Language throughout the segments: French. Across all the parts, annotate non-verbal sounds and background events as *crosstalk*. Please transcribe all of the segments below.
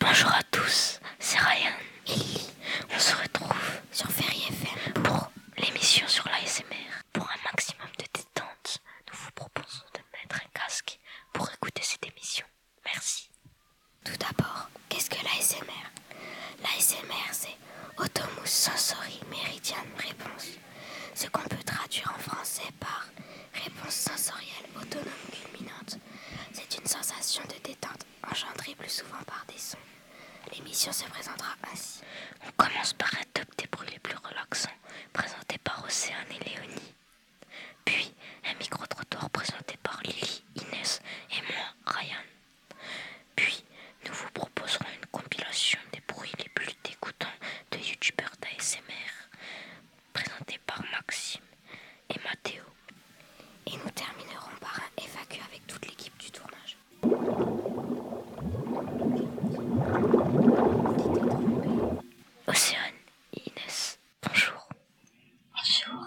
Bonjour à tous, c'est Ryan On se retrouve sur Ferry FM pour l'émission sur l'ASMR. Pour un maximum de détente, nous vous proposons de mettre un casque pour écouter cette émission. Merci. Tout d'abord, qu'est-ce que l'ASMR L'ASMR, c'est Automus Sensory Meridian Réponse, ce qu'on peut traduire en français par réponse sensorielle autonome culminante. C'est une sensation de détente engendrée plus souvent par des sons. L'émission se présentera ainsi. On commence par un top des bruits les plus relaxants, présenté par Océane et Léonie. Puis, un micro-trottoir présenté par Lily, Inès et moi, Ryan. Puis, nous vous proposerons une compilation des bruits les plus dégoûtants de youtubeurs d'ASMR, présenté par Maxime et Mathéo. Et nous terminerons par un évacué avec toute l'équipe du tournage. Océane et Inès, bonjour. Bonjour.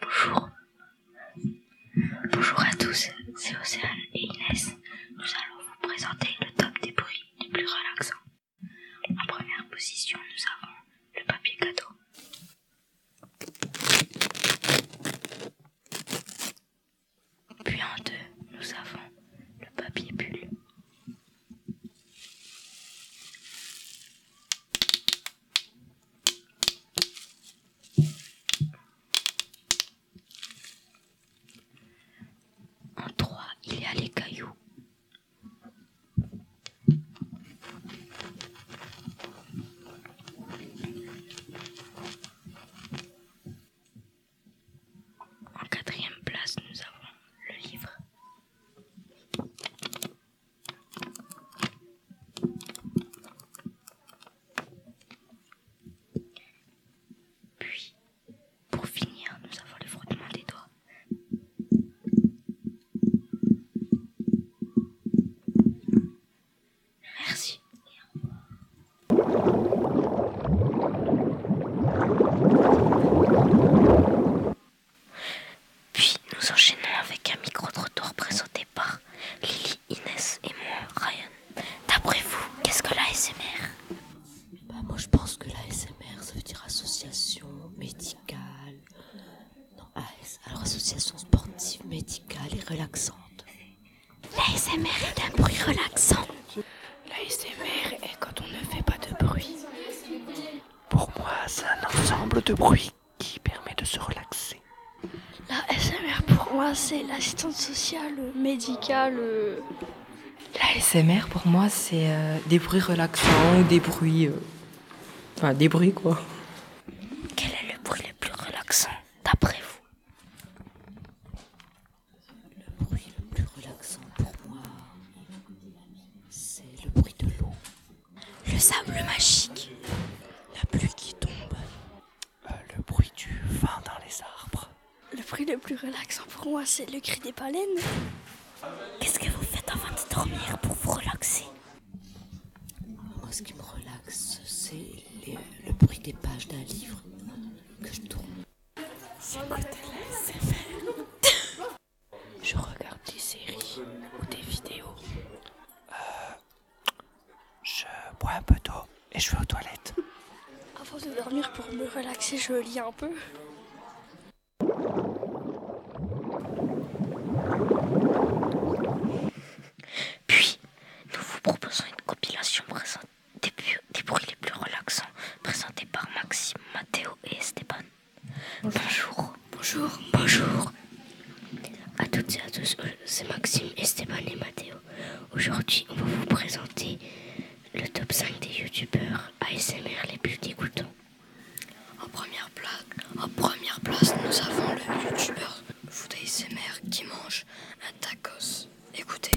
Bonjour. Bonjour à tous, c'est Océane et Inès. Nous allons vous présenter le top des bruits les plus relaxants. En première position, nous avons le papier cadeau. Puis en deux, nous avons le papier bulle. En trois, il y a les cailloux. En quatrième place, nous avons le livre. Puis, pour finir, nous avons le frottement des doigts. Merci. Puis nous enchaînons avec un micro-trottoir présenté par Lily, Inès et moi, Ryan. D'après vous, qu'est-ce que l'ASMR bah, Moi je pense que l'ASMR ça veut dire association médicale. Non, AS, alors association sportive, médicale et relaxante. S.M.R. est un bruit relaxant. S.M.R. est quand on ne fait pas de bruit. Pour moi, c'est un ensemble de bruits qui permet de se relaxer. La S.M.R. pour moi, c'est l'assistance sociale, médicale. Euh. La S.M.R. pour moi, c'est euh, des bruits relaxants, des bruits. Euh, enfin, des bruits quoi. Quel est le bruit le plus relaxant, d'après vous le bruit le plus relaxant pour moi, c'est le bruit de l'eau. Le sable magique. La pluie qui tombe. le bruit du vin dans les arbres. Le bruit le plus relaxant pour moi, c'est le cri des baleines. Qu'est-ce que vous faites avant de dormir pour vous relaxer Moi, ce qui me relaxe, c'est le bruit des pages d'un livre que je tourne. *laughs* Je regarde des séries ou des vidéos. Euh, je bois un peu d'eau et je vais aux toilettes. Avant de dormir pour me relaxer, je lis un peu. Puis, nous vous proposons une compilation présentée des, bruits les plus relaxants, présentés par Maxime, Mathéo et Esteban. Bonjour. Bonjour. Bonjour. À toutes et à tous, euh, c'est Maxime, Esteban et Mathéo. Aujourd'hui, on va vous présenter le top 5 des youtubeurs ASMR les plus dégoûtants. En première place, en première place nous avons le youtubeur food ASMR qui mange un tacos. Écoutez.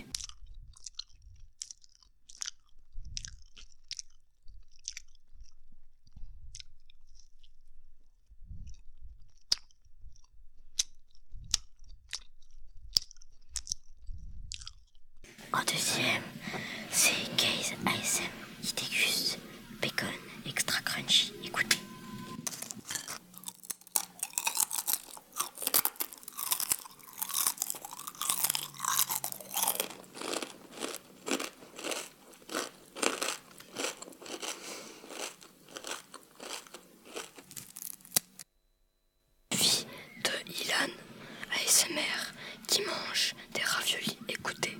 En deuxième, c'est Case ASM qui bacon extra crunchy. Écoutez de Ilan ASMR qui mange des raviolis. Écoutez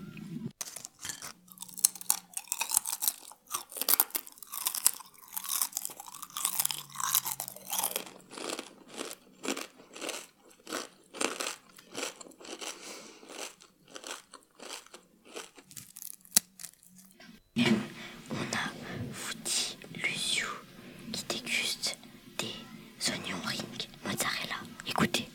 on a Fouti Lucio qui déguste des oignons ring mozzarella. Écoutez.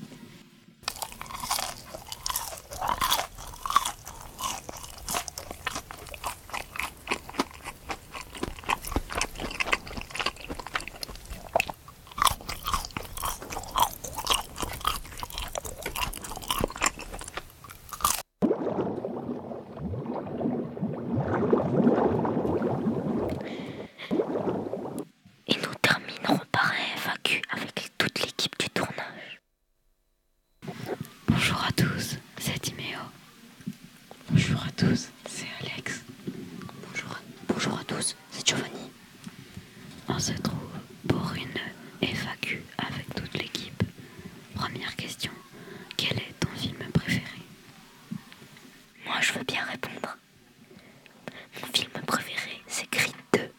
Et nous terminerons par un avec toute l'équipe du tournage. Bonjour à tous, c'est Timeo. Bonjour à tous, c'est Alex. Bonjour à, tous, c'est Giovanni. On se trouve pour une FAQ avec toute l'équipe. Première question, quel est ton film préféré Moi, je veux bien répondre. Mon film préféré, c'est Creed 2.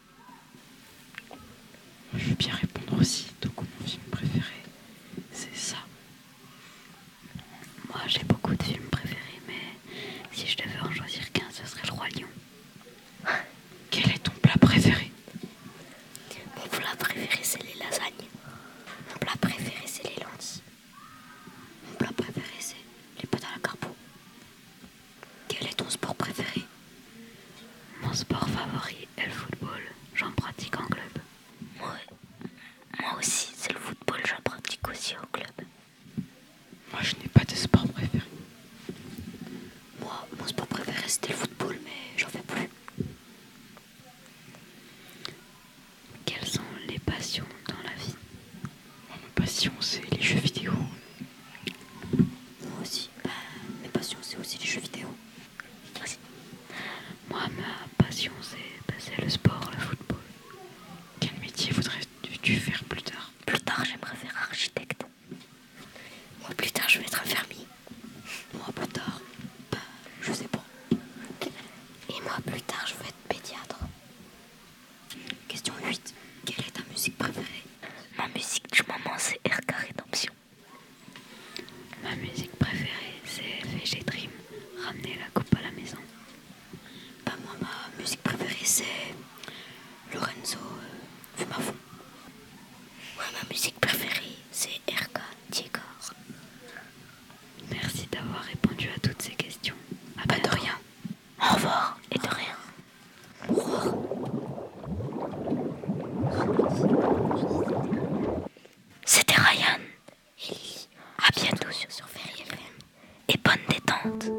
Je veux bien répondre aussi, donc mon film préféré, c'est ça, moi j'ai beaucoup de films préférés, mais si je devais en choisir qu'un, ce serait le Roi Lion. *laughs* Quel est ton plat préféré Mon plat préféré c'est les lasagnes. Mon plat préféré c'est les lances Mon plat préféré c'est les pâtes à la carpeau Quel est ton sport préféré Mon sport favori est le football. J'en pratique en club. Moi, moi aussi, c'est le football, j'en pratique aussi au club. Moi, je n'ai pas de sport préféré. Moi, mon sport préféré, c'était le football, mais j'en fais plus. Quelles sont les passions dans la vie Moi, ma passion, c'est les jeux vidéo. Moi aussi. Bah, mes passions, c'est aussi les jeux vidéo. Merci. Moi, ma passion, bah, c'est le sport, le football. Quel métier voudrais-tu faire plus tard Plus tard, j'aimerais faire architecte. Moi, plus tard, je vais être infirmier. Moi, plus tard, bah, je sais pas. Et moi, plus tard, je vais être pédiatre. Question 8. Quelle est ta musique préférée Ma musique du moment, c'est RK Redemption. Ma musique préférée, c'est VG Dream, ramener la coupe à la maison. Bah, moi, ma musique préférée, c'est Lorenzo euh, ma ma musique préférée, c'est RK Diegor. Merci d'avoir répondu à toutes ces questions. À Pas bah, de rien. Au revoir et de rien. C'était Ryan et À bientôt sur, sur Et bonne détente.